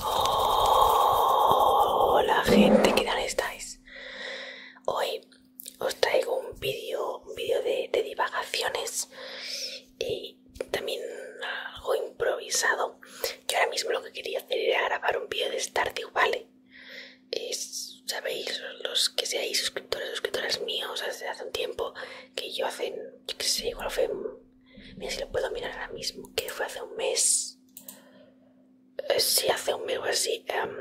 Hola gente, ¿qué tal estáis? Hoy os traigo un vídeo un vídeo de, divagaciones y también algo improvisado que ahora mismo lo que quería hacer era grabar un vídeo de Stardew ¿vale? sabéis los que seáis suscriptores suscriptoras míos hace, hace un tiempo que yo hacen, yo qué sé, igual fue Mira si lo puedo mirar ahora mismo, que fue hace un mes. Eh, si hace un mes o así. Em,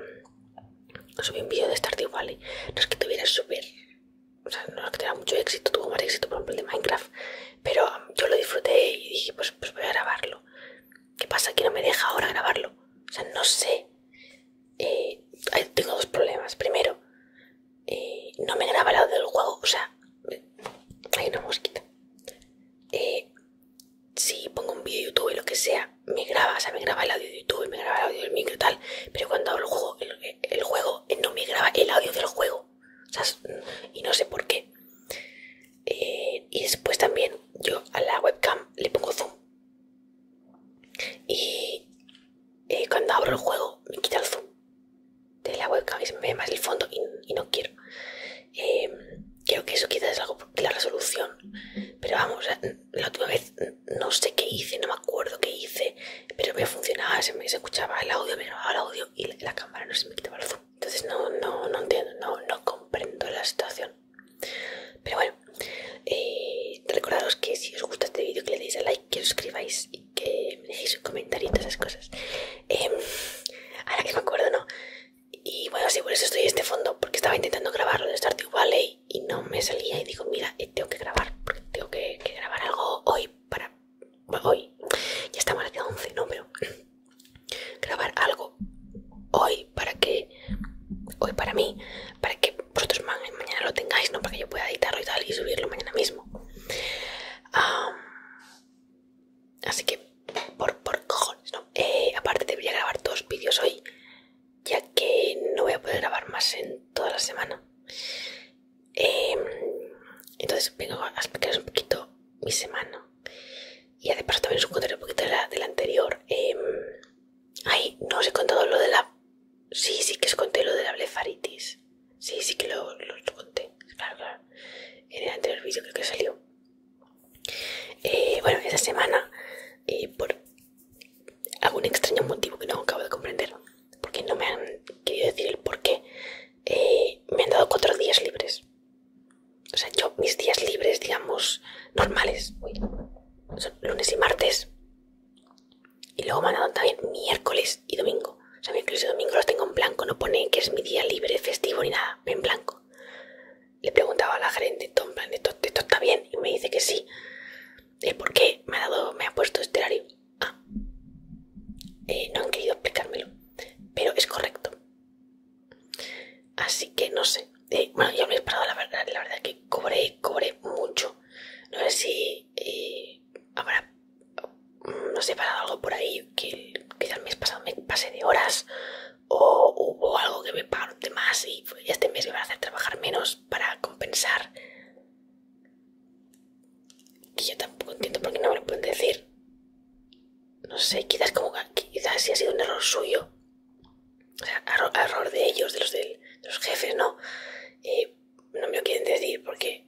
subí un vídeo de Stardew Valley. No es que tuviera súper. O sea, no es que tuviera mucho éxito, tuvo más éxito, por ejemplo, de Minecraft. Pero em, yo lo disfruté y dije, pues, pues, voy a grabarlo. ¿Qué pasa? Que no me deja ahora grabarlo. O sea, no sé. Eh, tengo dos problemas. Primero, eh, no me graba el del juego. O sea, hay una mosquita. Eh, si pongo un video de YouTube, lo que sea, me graba, o me graba el audio de YouTube, me graba el audio del micro y tal, pero cuando abro el juego, el, juego eh, no me graba el audio del juego, Y no sé por qué. Eh, y después también yo a la webcam le pongo zoom. Y cuando abro el juego me quita el zoom de la webcam y se me ve más el fondo y, no quiero. Em, creo que eso quizás es algo la resolución. Pero vamos, la última vez no sé qué hice, no me acuerdo qué hice, pero me funcionaba, se me escuchaba el audio, me grababa el audio y la, cámara no se me quitaba el zoom. Entonces no, entiendo, no, comprendo la situación. Pero bueno, eh, recordaros que si os gusta este vídeo que le deis a like, que os suscribáis que me dejéis un comentario y todas esas cosas. Em, ahora que me acuerdo, ¿no? Y bueno, sí, por eso estoy en este fondo, porque estaba intentando grabarlo de Stardew Valley y no me salía y digo, mira, eh, tengo que grabar, porque tengo que, grabar algo hoy para... hoy, ya estamos a las 11, ¿no? Pero grabar algo hoy para que... Hoy para mí, para que vosotros mañana lo tengáis, ¿no? Para que yo pueda editarlo y tal y subirlo mañana mismo. Así que, por, cojones, ¿no? Eh, aparte, debería grabar dos vídeos hoy, ya que no voy a poder grabar más en toda la semana. Em, entonces, vengo a explicaros un poquito mi semana. Y de también os contaré un poquito de la, anterior. Em, ay, no os he contado lo de la... Sí, sí que os conté lo de la blefaritis. Sí, sí que lo, conté. Claro, claro. En el anterior vídeo que salió. Eh, bueno, esta semana, eh, por algún extraño motivo que no acabo de comprender, porque no me han querido decir el por qué, eh, me han dado cuatro días libres. O sea, yo mis días libres, digamos, normales, son lunes y martes. Y luego me han dado también miércoles y domingo. O sea, domingo los tengo en blanco, no pone que es mi día libre, festivo ni nada, en blanco. Le preguntaba a la gerente, esto, plan, está bien? Y me dice que sí. ¿El por qué me ha, dado, me ha puesto este horario? Ah. Eh, no han querido explicármelo, pero es correcto. Así que no sé. Eh, bueno, yo me he esperado, la verdad, la verdad que cobré, cobré mucho. No sé si eh, habrá no sé, pasado algo por ahí que quizás el mes pasado me pasé de horas o hubo algo que me pagaron de más y este mes me a hacer trabajar menos para compensar. Que yo tampoco entiendo por qué no me lo pueden decir. No sé, quizás como quizás si ha sido un error suyo. O sea, error, de ellos, de los, de los jefes, ¿no? Eh, no me lo quieren decir porque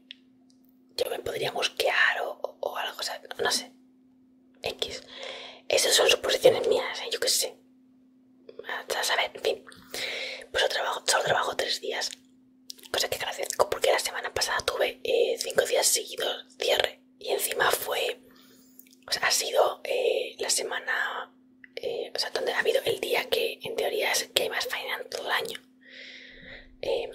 yo me podría mosquear o, algo, o no sé. X. Esas son suposiciones mías, ¿eh? yo qué sé. A saber, en fin. Pues yo trabajo, solo trabajo tres días. Cosa que agradezco porque la semana pasada tuve eh, cinco días seguidos cierre. Y encima fue... O sea, ha sido eh, la semana... o sea, donde ha habido el día que en teoría es que hay más faena en todo el año. Em,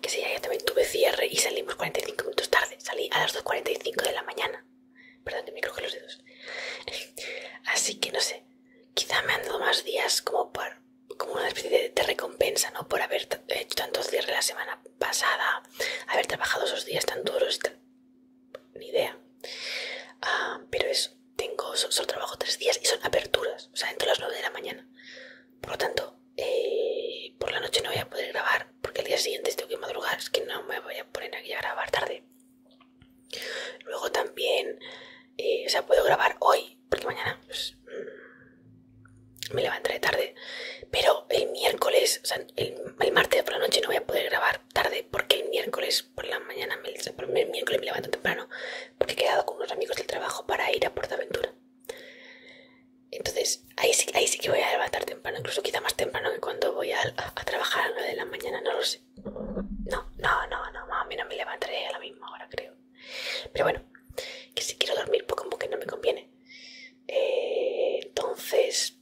que si ya también tuve cierre y salimos 45 minutos tarde, salí a las 2.45 de la mañana, perdón que me cruje los dedos, así que no sé, quizá me han dado más días como por, como una especie de, recompensa, ¿no? Por haber eh, hecho tanto cierre la semana pasada, haber trabajado esos días tan duros, ni idea, ah, pero eso tengo, solo, trabajo tres días y son aperturas, o sea, entre las 9 de la mañana. Por lo tanto, eh, por la noche no voy a poder grabar porque el día siguiente tengo que madrugar, es que no me voy a poner aquí a grabar tarde. Luego también, eh, o sea, puedo grabar hoy porque mañana pues, mm, me levantaré tarde, pero el miércoles, o sea, el, martes por la noche no voy a poder grabar tarde porque el miércoles por la mañana, me, el miércoles me levanto temprano porque he quedado con unos amigos del trabajo para ir a Aventura. Entonces, ahí sí, ahí sí que voy a levantar temprano, incluso quizá más temprano que cuando voy a, trabajar a las 9 de la mañana, no lo sé. No, no, no, no, o me levantaré a la misma hora, creo. Pero bueno, que si quiero dormir poco, que no me conviene. Entonces, eh, entonces,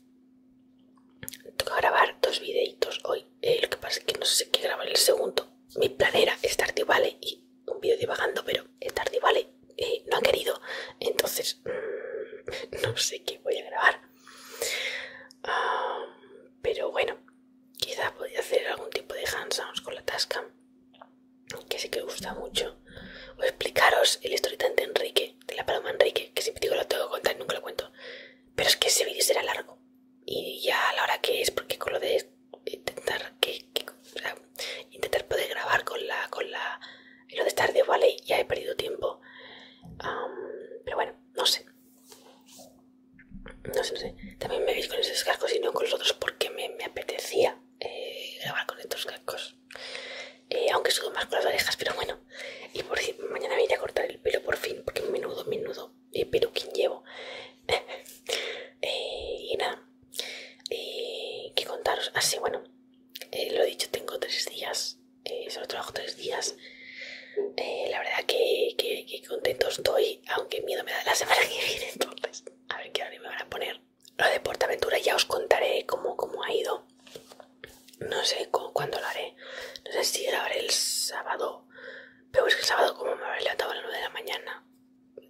toca grabar dos videitos hoy. Eh, lo que pasa es que no sé qué grabar el segundo. Mi plan era y vale y un vídeo divagando, pero estar y vale eh, no han querido, entonces mm, no sé qué voy a grabar. Ah, pero bueno, quizás podría hacer algún tipo de hands on con la tasca. que sí que gusta mucho. O explicaros el historiante de Enrique, de la paloma Enrique, que siempre digo lo tengo que contar y nunca lo cuento. Pero es que ese vídeo será largo y ya a la hora que es porque con lo de intentar que, intentar poder grabar con la con la lo de estar de vale ya he perdido tiempo pero bueno no sé no sé no sé también me veis con esos cascos y no con los otros porque me, apetecía eh, grabar con estos cascos eh, aunque sudo más con las orejas pero bueno y por mañana me iré a cortar el pelo por fin porque menudo menudo y eh, pero ¿quién llevo? Eh, y nada, eh, ¿qué contaros? Así, ah, bueno, eh, lo he dicho, tengo tres días, solo trabajo tres días. la verdad que, contento estoy, aunque miedo me da la semana que viene, entonces, a ver qué hora me van a poner. Lo de Portaventura ya os contaré cómo, cómo ha ido. No sé cuándo lo haré. No sé si haré el sábado pero es que el sábado como me habré levantado a las 9 de la mañana,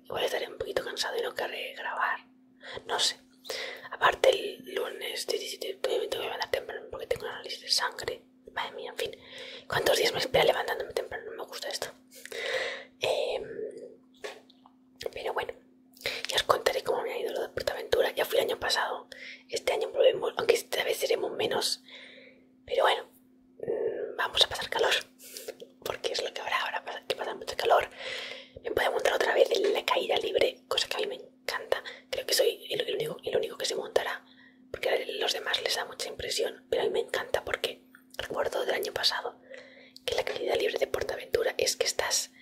igual estaré un poquito cansado y no querré grabar. No sé. Aparte el lunes 17 me tengo que levantar temprano porque tengo análisis de sangre. Madre mía, en fin. ¿Cuántos días me espera levantándome temprano? No me gusta esto. Em, pero bueno, ya os contaré cómo me ha ido lo de Portaventura. Ya fui el año pasado. Este año probemos aunque esta vez seremos menos. Pero bueno, vamos a pasar calor, porque es lo que habrá ahora, que pasa mucho calor. Me a montar otra vez en la caída libre, cosa que a mí me encanta. Creo que soy el, único, único que se montará, porque a los demás les da mucha impresión, pero a mí me encanta porque recuerdo del año pasado que la caída libre de Portaventura es que estás...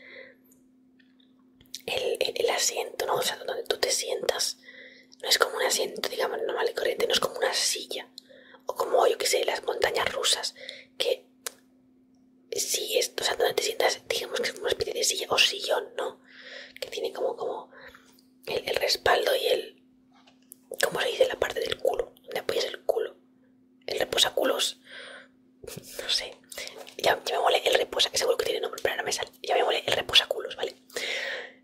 El, el, asiento, ¿no? O sea, donde tú te sientas no es como un asiento, digamos, normal y corriente, no es como una silla. O como, yo qué sé, las montañas rusas, que si es, o sea, donde te sientas, digamos que es una especie de silla o sillón, ¿no? Que tiene como, como el, respaldo y el, ¿cómo se dice? La parte del culo, donde apoyas el culo. El reposaculos, no sé, ya, me mole el reposa, que seguro que tiene nombre, para la ya me el reposaculos, ¿vale?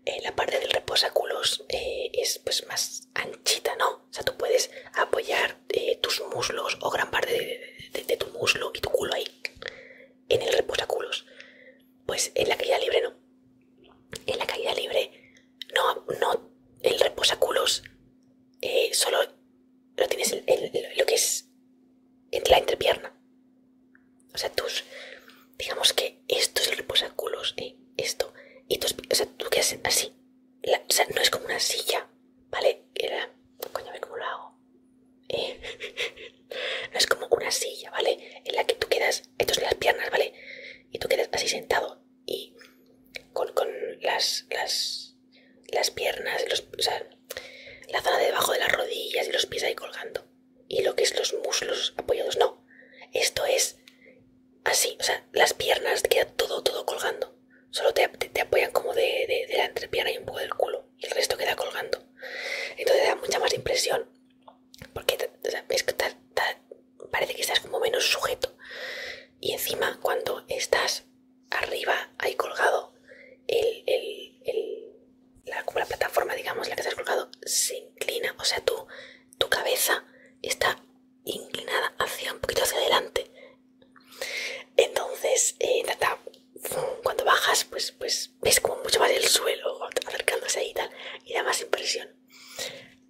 Eh, la parte del reposaculos eh, es pues más anchita, ¿no? O sea, tú puedes apoyar eh, tus muslos o gran parte de, tu muslo y tu culo ahí en el reposaculos. Pues en la caída libre no. En la caída libre no, no, el reposaculos solo lo tienes en, lo que es entre la entrepierna, o sea, tus. Digamos que esto es el reposaculos, ¿eh? Esto. Y tus. O sea, tú quedas así. o sea, no es como una silla, ¿vale? Era, coño, a ver cómo lo hago. Eh, no es como una silla, ¿vale? En la que tú quedas. Entonces las piernas, ¿vale? Y tú quedas así sentado y. Con, las, las, las piernas, los, o sea, la zona debajo de las rodillas y los pies ahí colgando y lo que es los muslos apoyados. No, esto es así, o sea, las piernas queda todo, todo colgando. Solo te, apoyan como de, de, la entrepierna y un poco del culo y el resto queda colgando. Entonces da mucha más impresión porque parece que estás como menos sujeto. Y encima cuando estás arriba hay colgado el, el, la, plataforma, digamos, la que has colgado, se inclina, o sea, tu, tu cabeza está inclinada hacia un poquito hacia adelante. Entonces, eh, cuando bajas, pues, pues ves como mucho más el suelo acercándose ahí y tal, y da más impresión.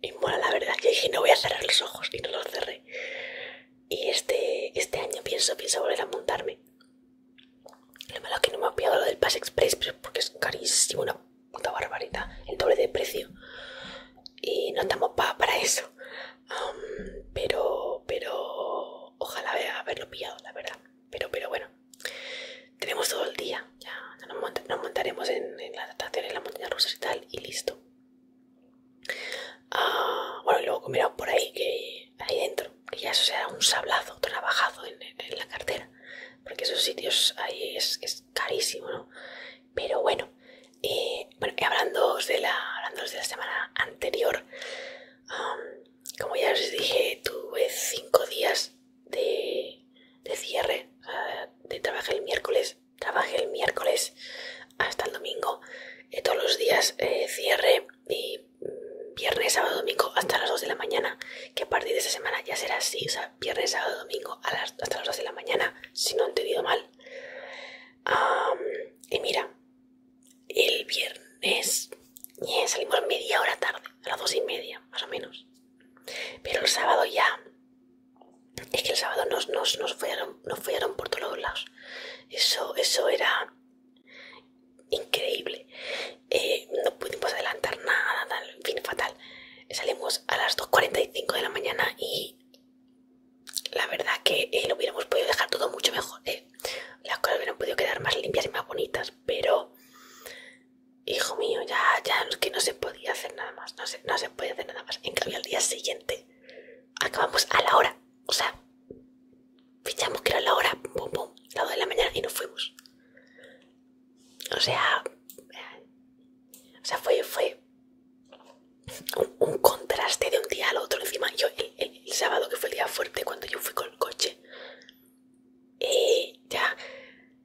Y bueno la verdad, yo dije, no voy a cerrar los ojos, y no los cerré. Y este, este año pienso, pienso volver a montarme. Lo malo es que no me ha pillado lo del Pass Express, porque es carísimo, una puta barbarita el doble de precio. Y no estamos para eso. pero, pero, ojalá haberlo pillado, la verdad. Pero, pero bueno, tenemos todo el día. Ya nos, montaremos en, la las atracciones, en las montañas rusas y tal, y listo. Ah, bueno, y luego comeremos por ahí, que ahí dentro ya eso sea un sablazo, trabajado en, la cartera, porque esos sitios ahí es, carísimo, ¿no? Pero bueno, eh, hablando de, la, de la semana anterior, como ya os dije, tuve cinco días de, cierre, de trabajé el miércoles, trabajé el miércoles hasta el domingo, todos los días eh, cierre y mm, viernes, sábado, domingo hasta las 2 de la mañana. Que a partir de esa semana ya será así. O sea, viernes, sábado, domingo a las, hasta las 2 de la mañana. Si no he entendido mal. y mira, el viernes salimos media hora tarde. A las 2 y media, más o menos. Pero el sábado ya... Es que el sábado nos, nos, nos, follaron, nos por todos lados. Eso, eso era increíble. Eh, no pudimos adelantar nada, en fin, fatal. Salimos a las 2.45 de la mañana y la verdad que eh, lo hubiéramos podido dejar todo mucho mejor. Eh. Las cosas hubieran podido quedar más limpias y más bonitas, pero hijo mío, ya, ya que no se podía hacer nada más, no se, no puede hacer nada más. En cambio, al día siguiente acabamos a la hora, o sea, fichamos que era la hora, boom, boom, la 2 de la mañana y nos fuimos. O sea, o sea fue, un, contraste de un día al otro. Encima, yo el, sábado, que fue el día fuerte, cuando yo fui con el coche, eh, ya,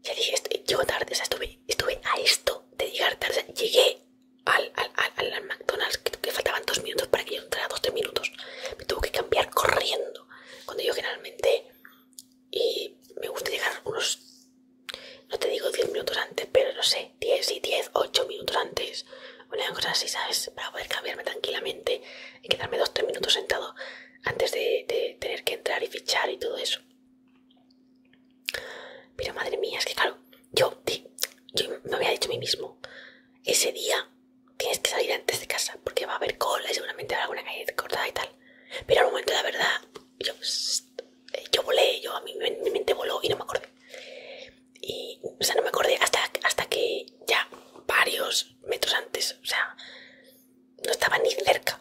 ya dije, yo tarde, o sea, estuve, estuve a esto de llegar tarde, llegué al, McDonald's, que, faltaban dos minutos para que yo entrara, dos, minutos, me tuve que cambiar corriendo cuando yo generalmente y me gusta llegar unos, no te digo 10 minutos antes, pero no sé, 10 y 10, 8 minutos antes, una cosa así, ¿sabes? Para poder cambiarme tranquilamente y quedarme 2-3 minutos sentado antes de, tener que entrar y fichar y todo eso. Pero madre mía, es que claro, yo, yo me había dicho a mí mismo, ese día tienes que salir antes de casa porque va a haber cola y seguramente habrá alguna calle cortada y tal. Pero al momento, la verdad, yo, eh, volé, yo a mi mente voló y no me acordé. Y, o sea, no me acordé hasta, hasta que ya varios metros antes, o sea, no estaba ni cerca.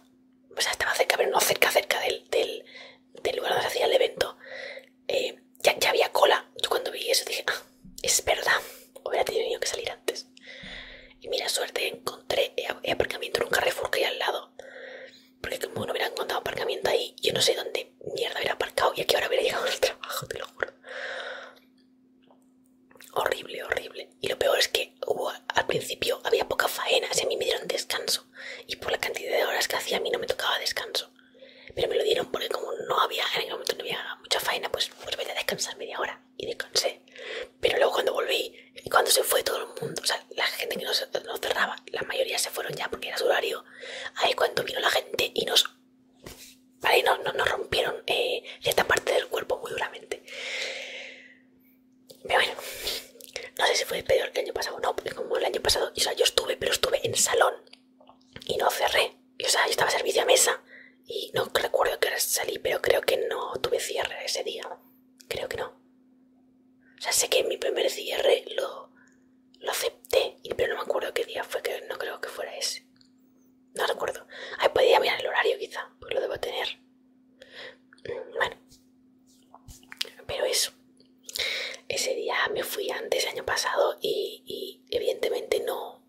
O sea, estaba cerca, pero no cerca, cerca del, lugar donde se hacía el evento. Eh, ya, ya había cola. Yo cuando vi eso dije, ah, es verdad, hubiera tenido que salir antes. Y mira, suerte encontré eh, eh, aparcamiento en un Carrefour que hay al lado. Porque como no hubiera encontrado aparcamiento ahí, yo no sé dónde mierda hubiera aparcado y a qué hora hubiera llegado el trabajo, te lo juro. Horrible, horrible. Y lo peor es que al principio había poca faena, se a mí me dieron descanso. Y por la cantidad de horas que hacía, a mí no me tocaba descanso. Pero me lo dieron porque como no había, en momento no había mucha faena, pues, pues a descansar media hora. Y descansé. Pero luego cuando volví, y cuando se fue todo el mundo, o sea, la gente que nos, cerraba, la mayoría se fueron ya porque era su horario. Ahí cuando vino la gente y nos... nos, rompieron eh, cierta parte del cuerpo muy duramente. Pero bueno, no sé si fue peor que el año pasado no, porque como el año pasado, o sea, yo estuve, pero estuve en salón y no cerré. o sea, yo estaba servicio a mesa y no recuerdo que salí, pero creo que no tuve cierre ese día. Creo que no. O sea, sé que mi primer cierre lo, lo acepté, pero no me acuerdo qué día fue, que no creo que fuera ese. No recuerdo. Ahí podía mirar el horario quizá, pues lo debo tener. Bueno. Pero eso. Ese día me fui antes, año pasado, y evidentemente no,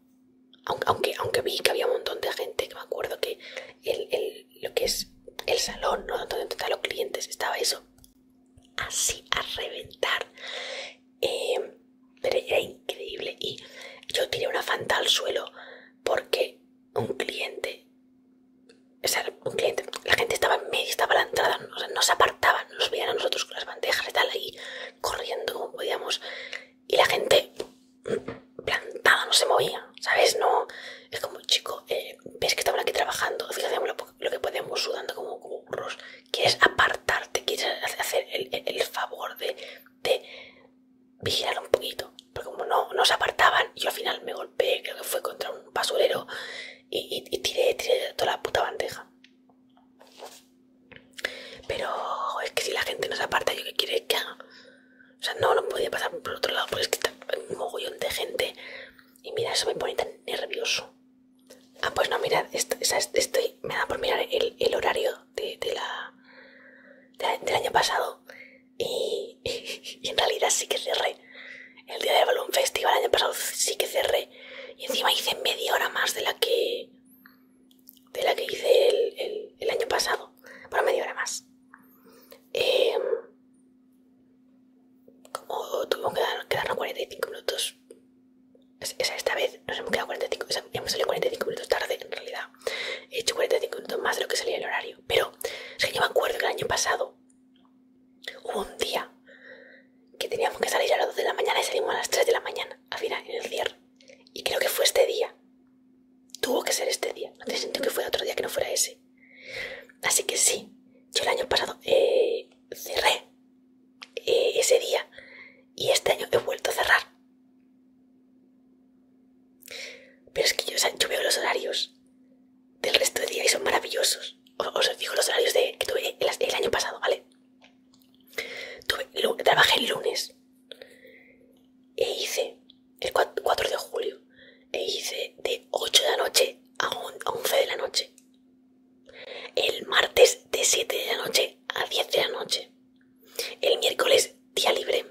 aunque, aunque vi que había un montón de gente, que me acuerdo que el, lo que es el salón, ¿no? donde están los clientes, estaba eso así a reventar. Em, pero era increíble y yo tiré una fanta al suelo porque un cliente, o sea, un cliente, la gente estaba en medio, estaba a la entrada, nos apartaban, nos veían a nosotros con las bandejas y tal, ahí corriendo como podíamos y la gente plantada no se movía, ¿sabes? No, es como, chico, eh, ves que estamos aquí trabajando, fíjate lo, que podemos sudando como, burros, quieres apartarte, quieres hacer el, favor de, de vigilar un poquito, pero como no, nos se apartaban, yo al final me golpeé, creo que fue contra un basurero y, y tiré, tiré toda la puta bandeja. Pero es que si la gente nos aparta, ¿yo qué quiere que O sea, no, no podía pasar por otro lado porque es que está un mogollón de gente. Y mira, eso me pone tan nervioso. Ah, pues no, mirad, esto, estoy, me da por mirar el, horario de, la, del año pasado. Y, y, en realidad sí que cerré. El día del Balloon Festival el año pasado sí que cerré. Y encima hice media hora más de la que de la que hice el, año pasado, para media hora más. Em, como tuvimos que quedarnos 45 minutos, esta vez nos hemos quedado 45, 45 minutos tarde en realidad. He hecho 45 minutos más de lo que salía el horario, pero es que yo me acuerdo que el año pasado hubo un día que teníamos que salir a las 2 de la mañana y salimos a las 3 de la mañana, al final, en el cierre. Y creo que fue este día. Tuvo que ser este día. No te siento que fuera otro día que no fuera ese. Así que sí, yo el año pasado eh, cerré eh, ese día y este año he vuelto a cerrar. Pero es que yo, veo los horarios del resto del día y son maravillosos. Os, digo los horarios de, que tuve el año pasado, ¿vale? trabajé el lunes e hice el 4 de julio e hice de 8 de la noche a, 11 de la noche. El martes de 7 de la noche a 10 de la noche. El miércoles día libre.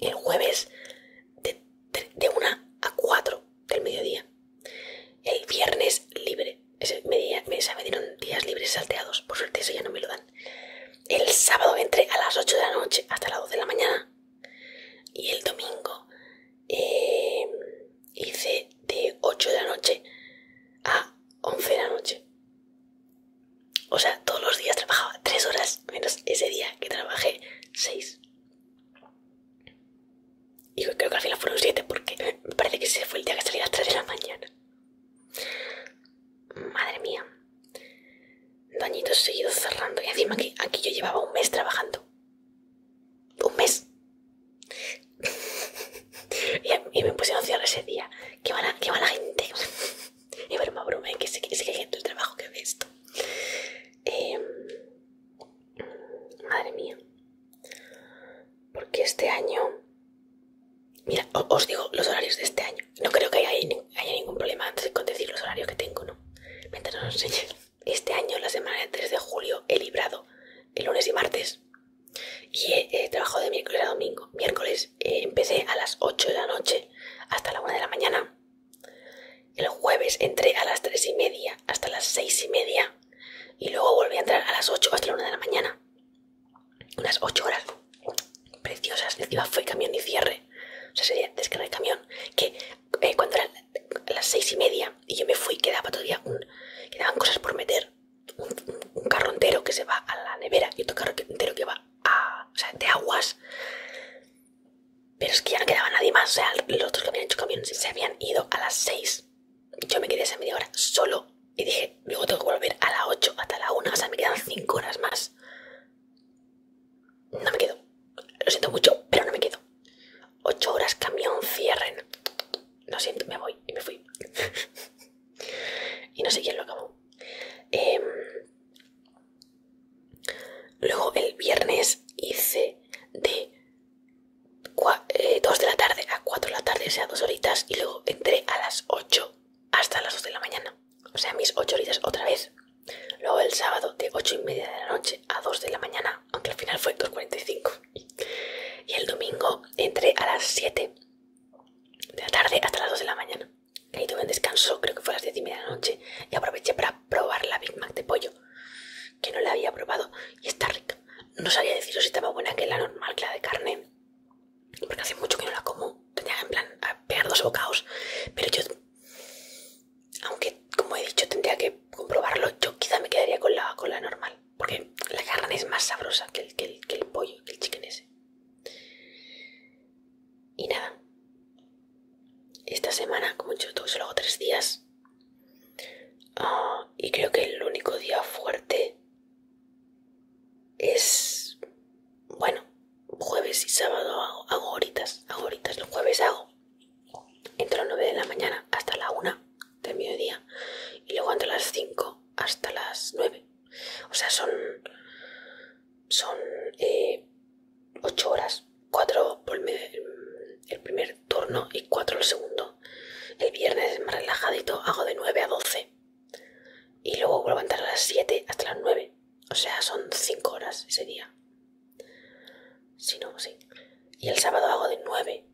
El jueves de 1 a 4 del mediodía. El viernes libre. me, dieron días libres salteados. Por suerte eso ya no me lo dan. El sábado entré a las 8 de la noche hasta las 2 de la mañana. Y el domingo em, hice de 8 de la noche a 11 de la noche. O sea, todos los días trabajaba 3 horas menos ese día que trabajé 6. Y creo que al final fueron 7 porque me parece que ese fue el día que salí a las 3 de la mañana. Madre mía. Dañitos seguidos cerrando. Y encima que aquí yo llevaba un mes trabajando. Un mes. y, me puse a ese día. Qué va qué gente. y broma, broma, que se que, que hay gente el trabajo que ve esto. Em, madre mía. Porque este año... Mira, os digo los horarios de este año. No creo que haya, ningún problema con decir los horarios que tengo, ¿no? Mientras Este año, la semana del 3 de julio, he librado el lunes y martes. Y he, trabajado de miércoles a domingo. Miércoles eh, empecé a las 8 de la noche hasta la 1 de la mañana. El jueves entré a las 3 y media hasta las 6 y media y luego volví a entrar a las 8 hasta la 1 de la mañana. Unas 8 horas preciosas. Encima fue camión y cierre. O sea, sería descarga el camión. Que eh, cuando eran las 6 y media y yo me fui, quedaba todavía quedaban cosas por meter. Un, carro entero que se va a la nevera y otro carro entero que va a. O sea, de aguas. Pero es que ya no quedaba nadie más. O sea, los otros que habían hecho camión se habían ido a las 6 yo me quedé esa media hora solo y dije, luego tengo que volver a las 8 hasta la 1, o sea, me quedan 5 horas más. No me quedo. Lo siento mucho, pero no me quedo. 8 horas camión, cierren. Lo siento, me voy y me fui. y no sé quién lo acabó. Em, luego el viernes hice de 2 eh, de la tarde a 4 de la tarde, o sea, 2 horitas, y luego entré a las 8 hasta las 2 de la mañana, o sea, mis 8 horitas otra vez. Luego el sábado de 8 y media de la noche a 2 de la mañana, aunque al final fue 2.45. Y el domingo entré a las 7 de la tarde hasta las 2 de la mañana. Que ahí tuve un descanso, creo que fue a las 10 y media de la noche, y aproveché para probar la Big Mac de pollo, que no la había probado, y está rica. No sabía deciros si estaba buena que la normal, que la de carne. Porque hace mucho que no la como. Tenía en plan pegar dos bocados. Pero yo, aunque como he dicho tendría que comprobarlo, yo quizá me quedaría con la, normal. Porque la carne es más sabrosa que el, que el, pollo, que el chicken ese. Y nada. Esta semana, como yo todo solo hago tres días, y creo que el único día fuerte es, bueno, jueves y sábado hago, horitas, los jueves hago. Entre las 9 de la mañana hasta la 1 del mediodía y luego entre las 5 hasta las 9. O sea, son, son 8 eh, horas, 4 por el primer turno y 4 el segundo. El viernes es más relajadito, hago de 9 a 12. Y luego vuelvo a entrar a las 7 hasta las 9. O sea, son 5 horas ese día. Si no, sí. Y el sábado hago de 9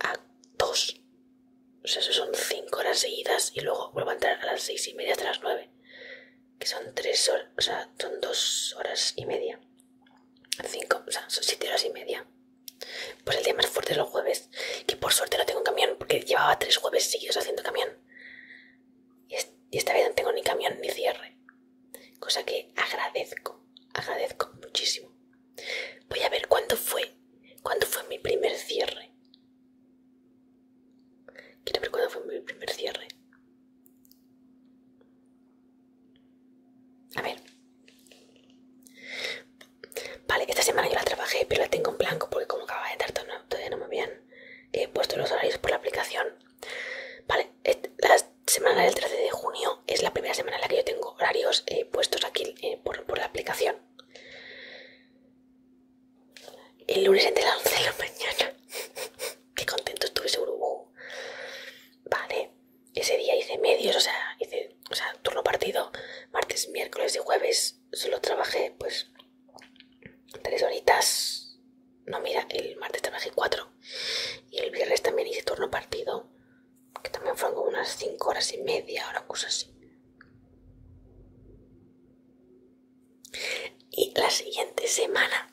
a 2. O sea, eso son 5 horas seguidas y luego vuelvo a entrar a las 6 y media hasta las 9. Que son 3 o sea, son 2 horas y media. 5, o sea, son 7 horas y media. Pues el día más fuerte es los jueves, que por suerte no tengo un camión, porque llevaba tres jueves seguidos haciendo camión. Y, y esta vez no tengo ni camión ni cierre. Cosa que agradezco, agradezco muchísimo. Voy a ver cuándo fue, cuándo fue mi primer cierre. Quiero ver cuándo fue mi primer cierre. A ver. Vale, esta semana yo la trabajé, pero la tengo en blanco porque como acaba de tardar todavía no me habían he eh, puesto los horarios por la aplicación. Vale, la semana del 13 de junio es la primera semana en la que yo tengo horarios eh, puestos aquí eh, por, por la aplicación. El lunes entre las 11 de la mañana. Qué contento estuve, seguro. Vale, ese día hice medios, o sea, hice o sea, turno partido, martes, miércoles y jueves. Solo trabajé, pues, tres horitas. No, mira, el martes trabajé cuatro. Y el viernes también hice turno partido, que también fueron como unas cinco horas y media, o cosas así. Y la siguiente semana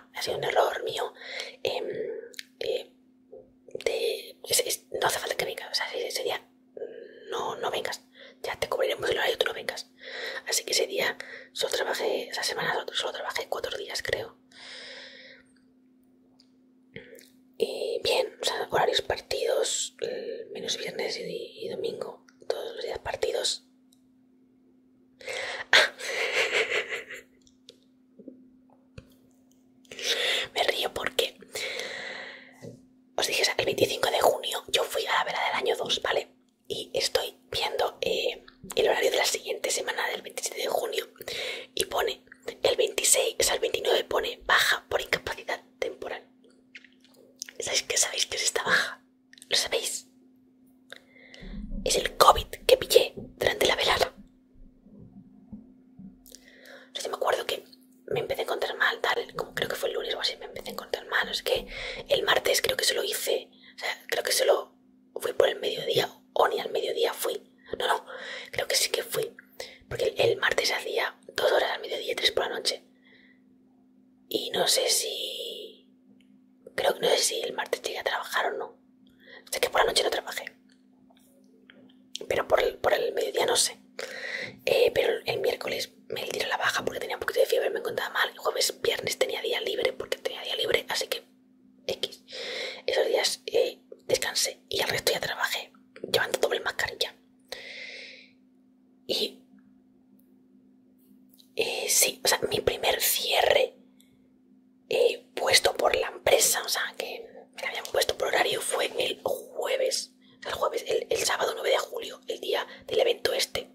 ha sido un error mío. Em, eh, no hace falta que vengas, ese día no, no vengas, ya te cubriremos el horario, tú no vengas. Así que ese día solo trabajé, esa semana solo, trabajé cuatro días, creo. Y bien, horarios partidos, eh, menos viernes y domingo, todos los días partidos. Me río porque os dije, el 25 de junio yo fui a la vela del año 2, ¿vale? Y estoy viendo eh, el horario de la siguiente semana del 27 de junio y pone el 26, o sea, el 29 pone baja por incapacidad temporal. ¿Sabéis que ¿Sabéis que es esta baja? ¿Lo sabéis? Es el COVID que pillé durante la velada. O me acuerdo que me empecé a encontrar mal, tal, como creo que fue el lunes o así, me empecé a encontrar mal. Es que el martes creo que solo hice, o sea, creo que solo fui por el mediodía, o ni al mediodía fui. No, no, creo que sí que fui. Porque el, el martes hacía dos horas al mediodía y tres por la noche. Y no sé si Creo que no sé si el martes llegué a trabajar o no. Sé que por la noche no trabajé. Pero por el, mediodía no sé. Eh, pero el miércoles me dieron la baja porque tenía un poquito de fiebre, me encontraba mal. El jueves, viernes tenía día libre porque tenía día libre, así que X. Esos días eh, descansé y el resto ya trabajé llevando doble mascarilla. Y eh, sí, o sea, mi primer cierre puesto por la empresa, o sea, que me habían puesto por horario, fue el jueves, el jueves, el, sábado 9 de julio, el día del evento este.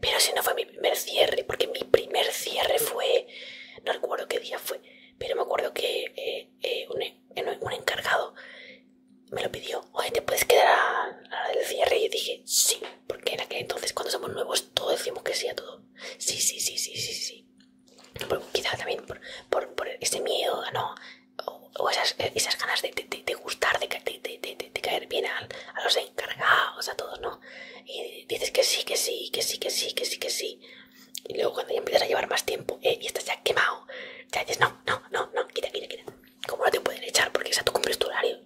Pero si no fue mi primer cierre, porque mi primer cierre fue, no recuerdo qué día fue, pero me acuerdo que eh, eh, un, encargado me lo pidió, oye, ¿te puedes quedar a, del cierre? Y dije, sí. Porque en aquel entonces, cuando somos nuevos, todos decimos que sí a todo. Sí, sí, sí, sí, sí, sí. Quizás también por, ese miedo, ¿no? O, esas, ganas de, gustar, de, caer bien a, los encargados, a todos, ¿no? Y dices que sí, que sí, que sí, que sí, que sí, que sí. Y luego cuando ya empiezas a llevar más tiempo eh, y estás ya quemado, ya dices, no, no, no, no, quita, quita, quita. ¿Cómo no te pueden echar porque ya tú cumples tu horario.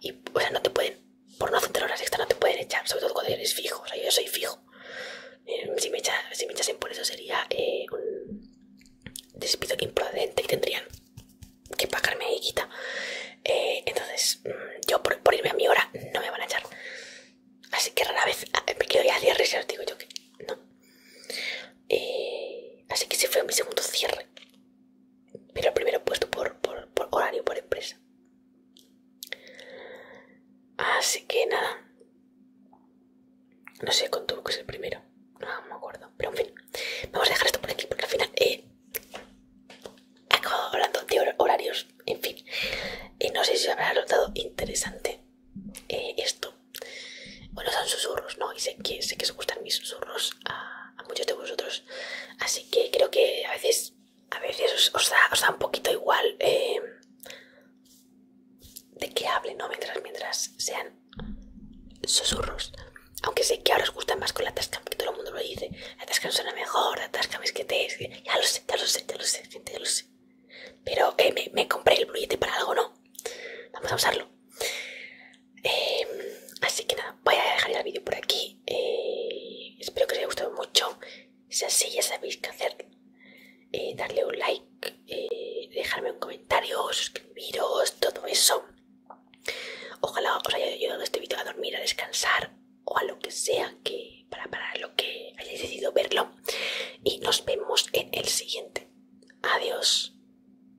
Y, o sea, no te pueden, por no hacer horas esta, no te pueden echar, sobre todo cuando eres fijo. O sea, yo soy fijo. Eh, si, me si me echasen por eso sería eh, un despido imprudente y tendrían que pagarme y quita. Eh, entonces, mm, yo por, irme a mi hora no me van a echar. Así que rara vez ah, me quedo ya cierre, si os digo yo que no. así que ese fue mi segundo cierre pero el primero puesto por, horario, por empresa. Así que nada. No sé con tu que es el primero. No, me acuerdo. Pero en fin. Vamos a dejar esto por aquí porque al final he eh, acabado hablando de horarios. En fin. Y no sé si habrá resultado interesante eh, esto. Bueno, son susurros, ¿no? Y sé que, sé que os gustan mis susurros a, muchos de vosotros. Así que creo que a veces, a veces os, da, un poquito igual eh, de que hable ¿no? Mientras, mientras sean susurros. Aunque sé que ahora os gustan más con la tasca, porque todo el mundo lo dice. La tasca suena mejor, la tasca es que te... Ya lo sé, ya lo sé, ya lo sé, ya lo sé. Pero eh, me, compré el billete para algo, ¿no? Vamos a usarlo. Eh, así que nada, voy a dejar el vídeo por aquí. Eh, espero que os haya gustado mucho. Si así ya sabéis qué hacer. Eh, darle un like, dejarme un comentario, suscribiros, todo eso. Ojalá os haya ayudado este vídeo a dormir, a descansar o a lo que sea que para lo que hayáis decidido verlo. Y nos vemos en el siguiente. Adiós.